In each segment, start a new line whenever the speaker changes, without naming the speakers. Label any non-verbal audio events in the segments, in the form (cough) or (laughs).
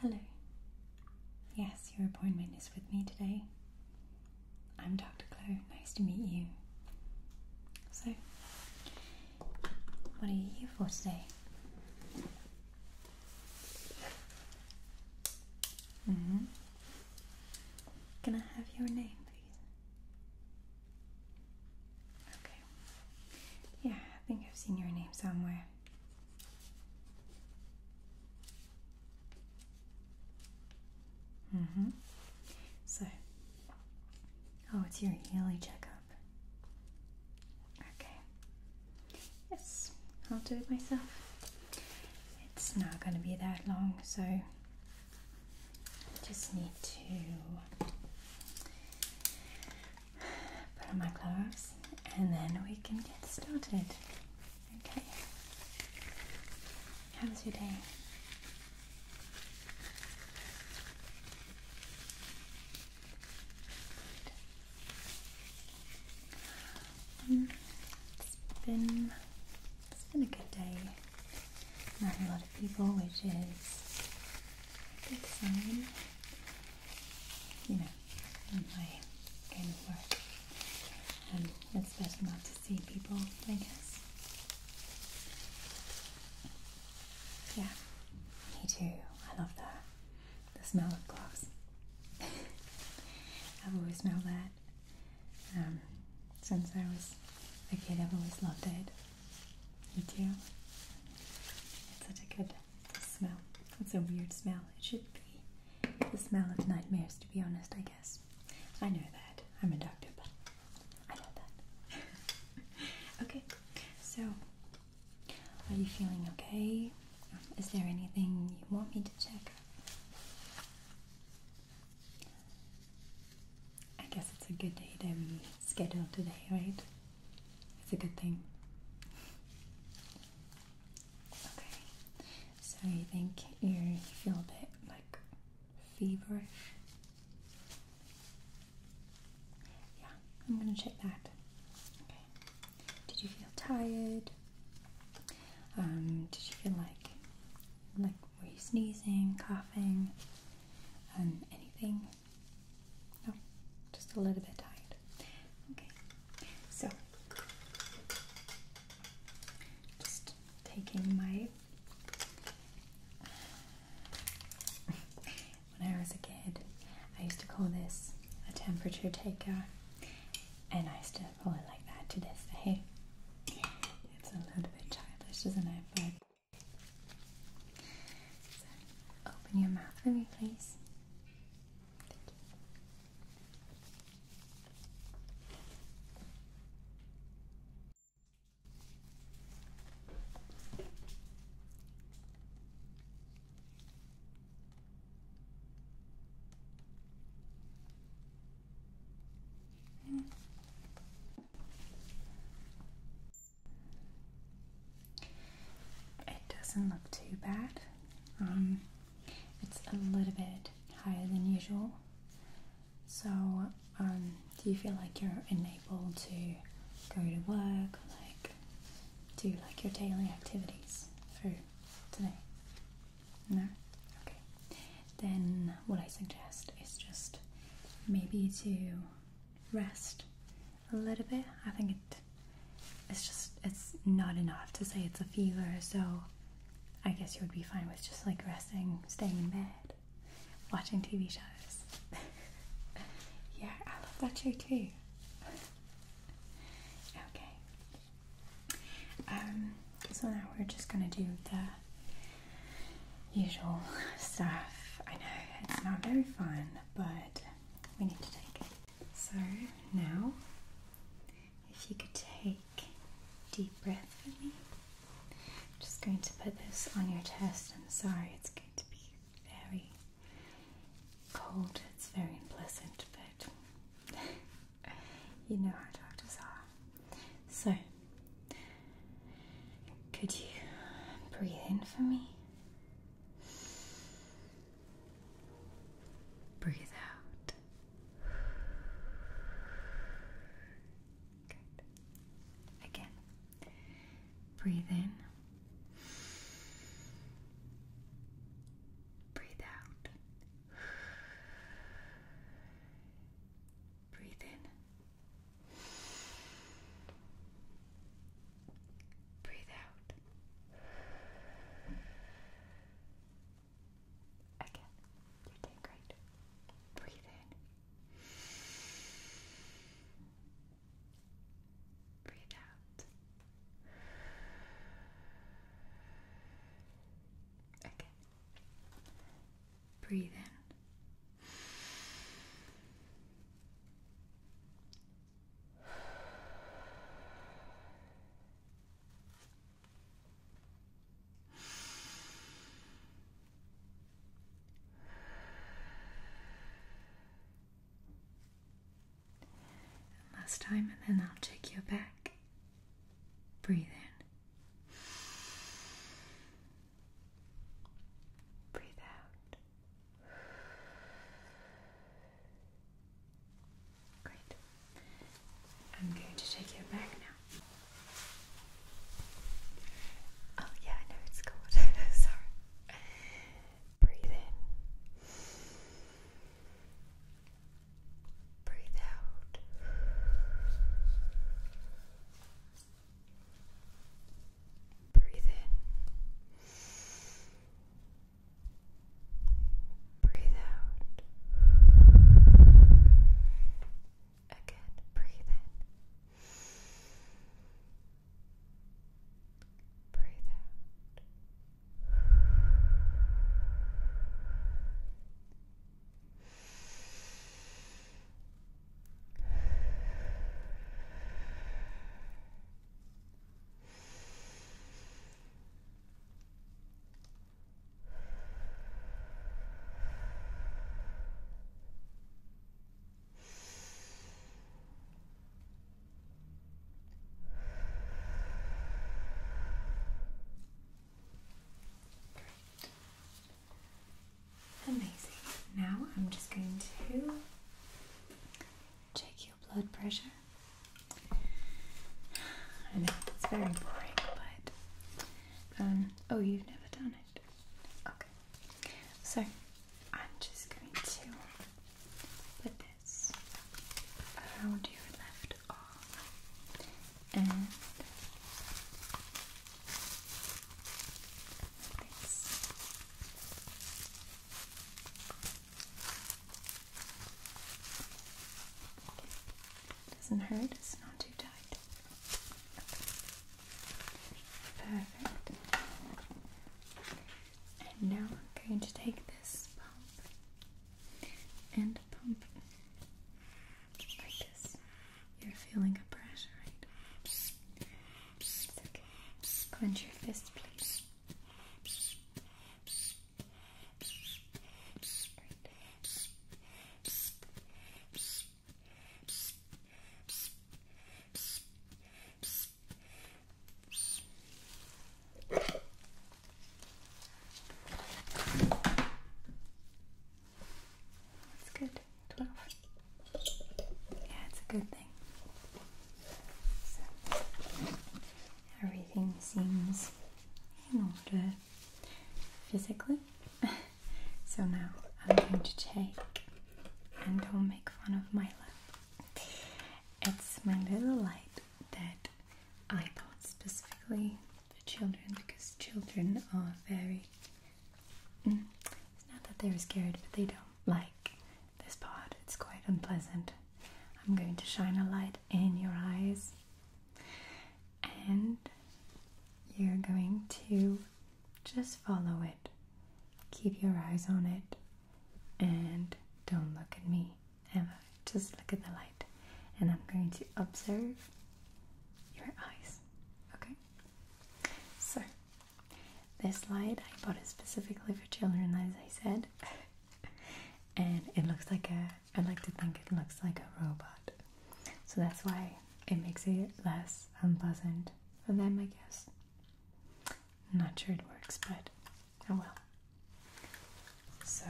Hello. Yes, your appointment is with me today. I'm Dr. Chloe. Nice to meet you. So, what are you here for today? Mm Can I have your name, please? Okay. Yeah, I think I've seen your name somewhere. Mm-hmm. So, oh, it's your yearly checkup. Okay. Yes, I'll do it myself. It's not going to be that long, so just need to put on my gloves and then we can get started. Okay. How was your day? Um, it's been it's been a good day. Not a lot of people, which is a good sign you know, in my kind of work. And it's best not to see people, I guess. Yeah, me too. I love that. The smell of glass. (laughs) I've always smelled that. Um, since I was a kid, I've always loved it. You too? It's such a good the smell. It's a weird smell. It should be the smell of nightmares, to be honest, I guess. I know that. I'm a doctor, but I know that. (laughs) okay, so are you feeling okay? Is there anything you want me to check? I guess it's a good day that we scheduled today, right? It's a good thing. Okay. So you think you feel a bit like feverish? Yeah, I'm gonna check that. Okay. Did you feel tired? Um, did you feel like like were you sneezing, coughing, um, anything? No, just a little bit tired. Okay, so, just taking my. when I was a kid, I used to call this a temperature taker, and I used to call it like that to this day. It's a little bit childish, isn't it? But open your mouth for me, please. It doesn't look too bad. Um, it's a little bit higher than usual. So, um, do you feel like you're enabled to go to work, like do like your daily activities through today? No? Okay. Then what I suggest is just maybe to rest a little bit. I think it it's just it's not enough to say it's a fever, so I guess you would be fine with just like resting, staying in bed, watching TV shows. (laughs) yeah, I love that show too. (laughs) okay. Um so now we're just gonna do the usual (laughs) stuff. I know it's not very fun, but we need to take it. So now, if you could take deep breath for me, I'm just going to put this on your chest. I'm sorry, it's going to be very cold, it's very unpleasant, but (laughs) you know how doctors are. So, could you breathe in for me? Breathe out. Good. Again. Breathe in. Breathe out. Breathe in. Breathe out. Again, you're doing great. Breathe in. Breathe out. Again. Breathe in. And last time, and then I'll take you back. Breathe in. Breathe out. Great. I'm going to take your back now. Oh, yeah, I know it's cold. (laughs) Sorry. Breathe in. Breathe out. Breathe in. Breathe out. Again, breathe in. Breathe out. Breathe Amazing. Now I'm just going to check blood pressure. I know it's very boring, but um, oh, you've never done it. Okay, so I'm just going to put this around your left arm and this. Doesn't hurt, it's not too tight. Perfect. And now I'm going to take this pump and pump like You're feeling a pressure, right? okay. Clench your fist, please. That's good. Twelve. Yeah, it's a good thing everything seems in order physically. (laughs) so now I'm going to take, and don't make fun of my lamp. It's my little light that I bought specifically for children because children are very. Mm, it's not that they're scared, but they don't like this pod. It's quite unpleasant. I'm going to shine a light in your eyes, and you're going to just follow it. Keep your eyes on it and don't look at me ever. Just look at the light, and I'm going to observe your eyes. Okay? So, this light I bought it specifically for children, as I said and it looks like a I like to think it looks like a robot. So that's why it makes it less unpleasant for them, I guess. not sure it works, but oh well. So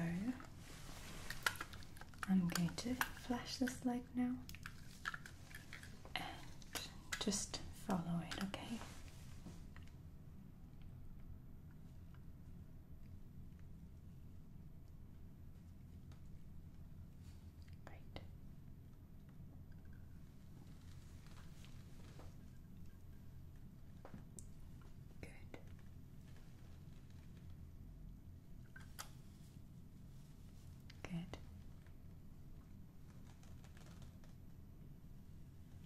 I'm going to flash this light now and just follow it, okay? Right. Good. Good.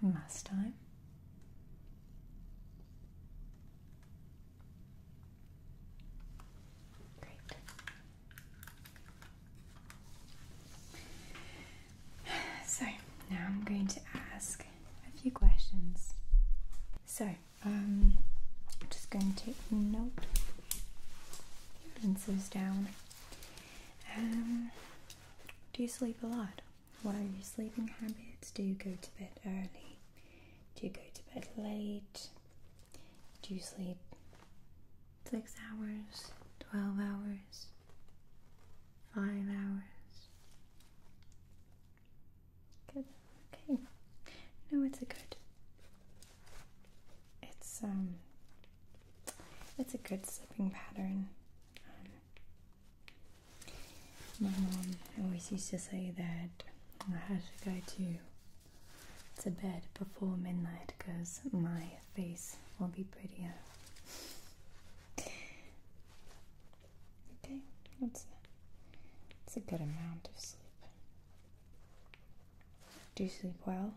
One last time. Great. So now I'm going to ask a few questions. So um, I'm just going to take note your down. Um, do you sleep a lot? What are your sleeping habits? Do you go to bed early? Do you go to bed late? Do you sleep six hours, 12 hours, five hours? Good, okay. No, it's a good. It's, um, it's a good sleeping pattern. Um, my mom always used to say that I had to go to to bed before midnight because my face will be prettier. Okay, that's a, a good amount of sleep. Do you sleep well?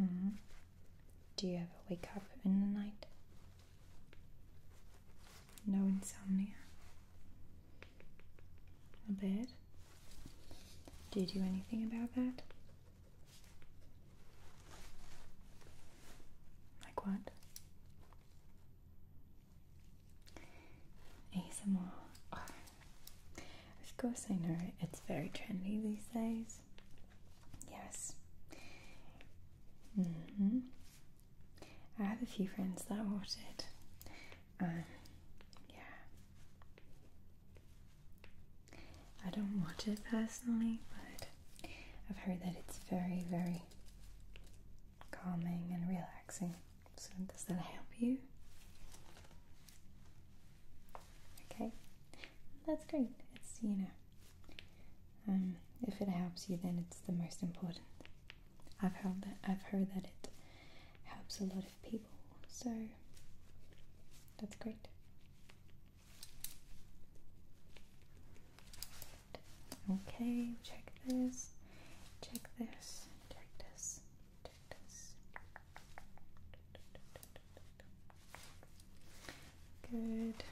Mm-hmm. Do you ever wake up in the night? No insomnia? A bit? Do you anything about that? Like what? ASMR. Of course, I know it's very trendy these days yes, Mm -hmm. I have a few friends that watch it. Um, yeah, I don't watch it personally, but I've heard that it's very, very calming and relaxing. So, does that help you? Okay, that's great. It's you know, um, if it helps you, then it's the most important. I've heard that I've heard that it helps a lot of people, so that's great. Okay, check this, check this, check this, check this. Good.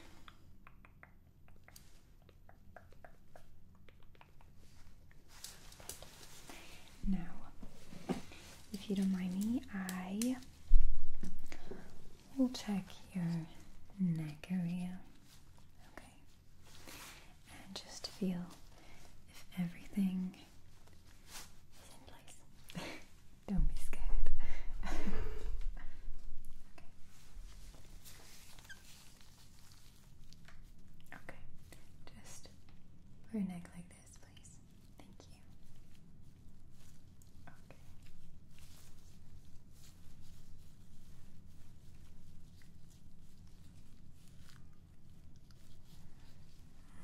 Now, if you don't mind me, I will check your neck area. Okay. And just feel if everything is in place. (laughs) Don't be scared. (laughs) okay. Okay. Just your neck like this, please. Thank you. Okay.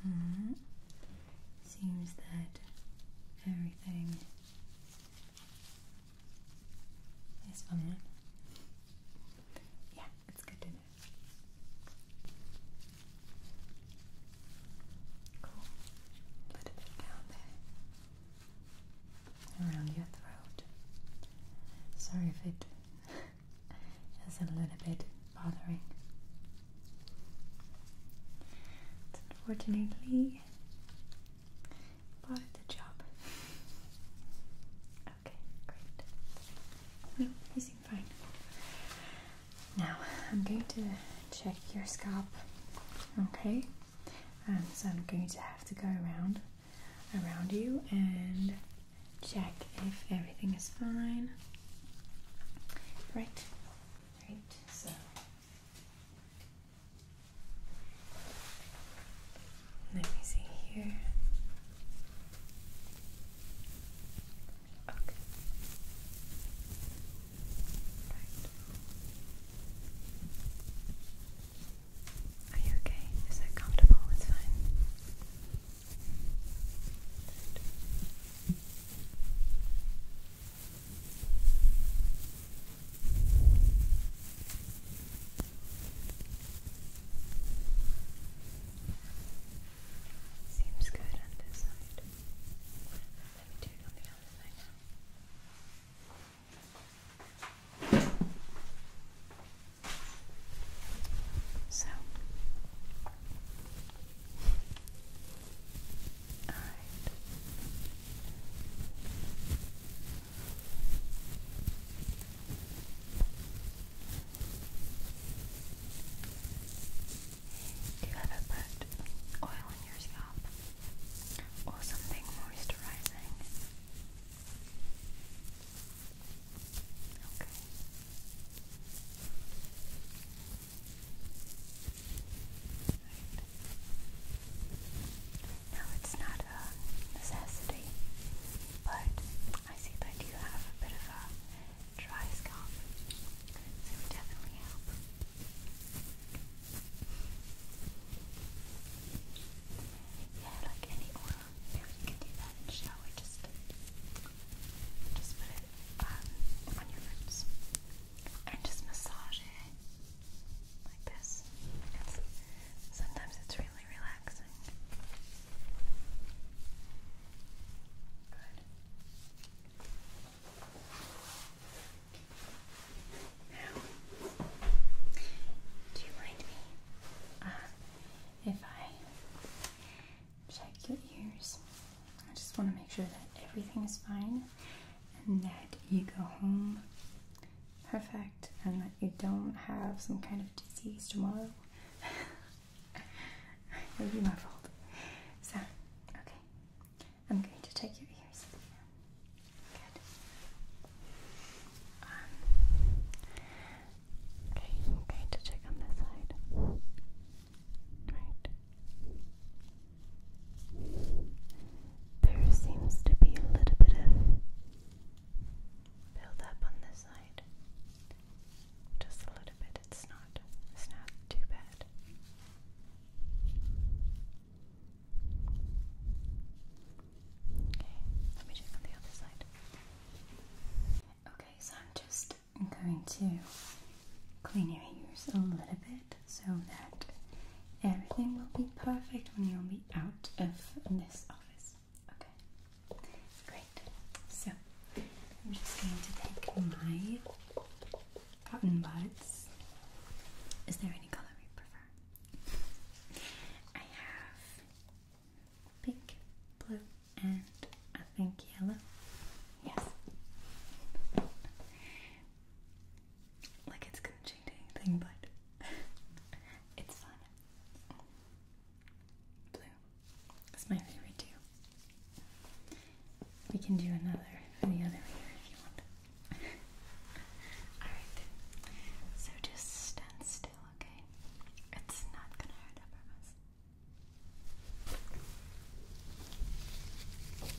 -hmm. Seems that everything Nice fun one. Yeah, it's good to know. Cool. A little bit down there. Around your throat. Sorry if it (laughs) is a little bit bothering. Unfortunately, bother the job. Okay, great. No, you seem fine. Now, I'm going to check your scalp. Okay? Um, so I'm going to have to go around around you and check if everything is fine. Right. Right. So let me see here. Okay. Right. Are you okay? Is that comfortable? It's fine. Seems good on this side. Let me do on the other side now. So, all right. Do you ever put oil on your scalp or something moisturizing? Okay. Now it's not a necessity, but I see that you have a bit of a dry scalp, so it definitely help. Yeah, like any oil, you can do that in shower, just, just put it um, on your roots and just massage it like this. sometimes it's really relaxing. Good. Now, do you mind me uh, if I check your ears? I just want to make sure that everything is fine and that you go home perfect and that you don't have some kind of disease tomorrow. (laughs) it would be my fault. So, okay. I'm going to take your ears. Good. Um, okay, I'm going to check on this side. Right. There seems to be a little bit of build on this side. Just a little bit. It's not it's not too bad. Okay, let me check on the other side. Okay, so I'm just going to clean your ears a little bit so that everything will be perfect when you'll be out of this office. Okay, great. So I'm just going to take my cotton buds. Is there any color you prefer? I have pink, blue, and I think yellow. Yes like it's gonna change anything, but (laughs) it's fun. Blue is my favorite too. We can do another for other ear if you want. (laughs) Alright, so just stand still, okay? It's not gonna hurt, I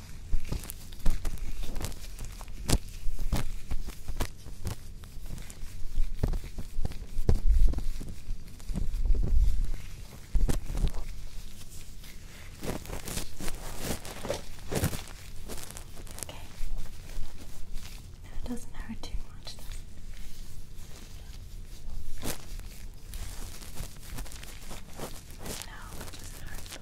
Okay. Now doesn't hurt too much, does No, it doesn't hurt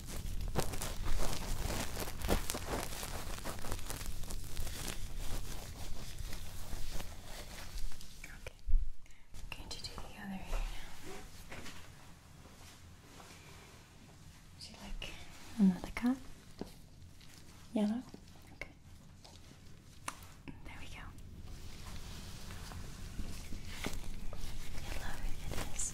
Okay. Going to do the other ear now. Would you like another cup? Yellow? Okay. There we go. Yellow it is.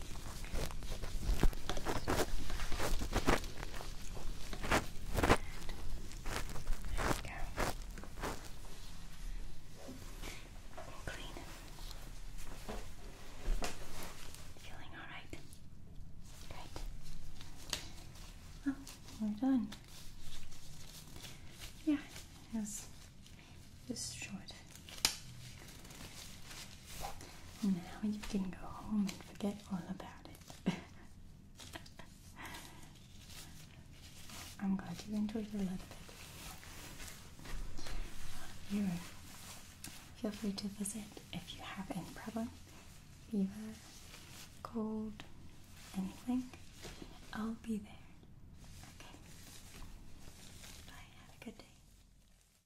we go. Clean. Feeling all right? Great. Well, we're done. Yeah, it Just short. Now you can go home and forget all about it. (laughs) I'm glad you enjoyed it a little bit. You feel free to visit if you have any problem, fever, cold, anything. I'll be there. Okay. Bye. Have a good day.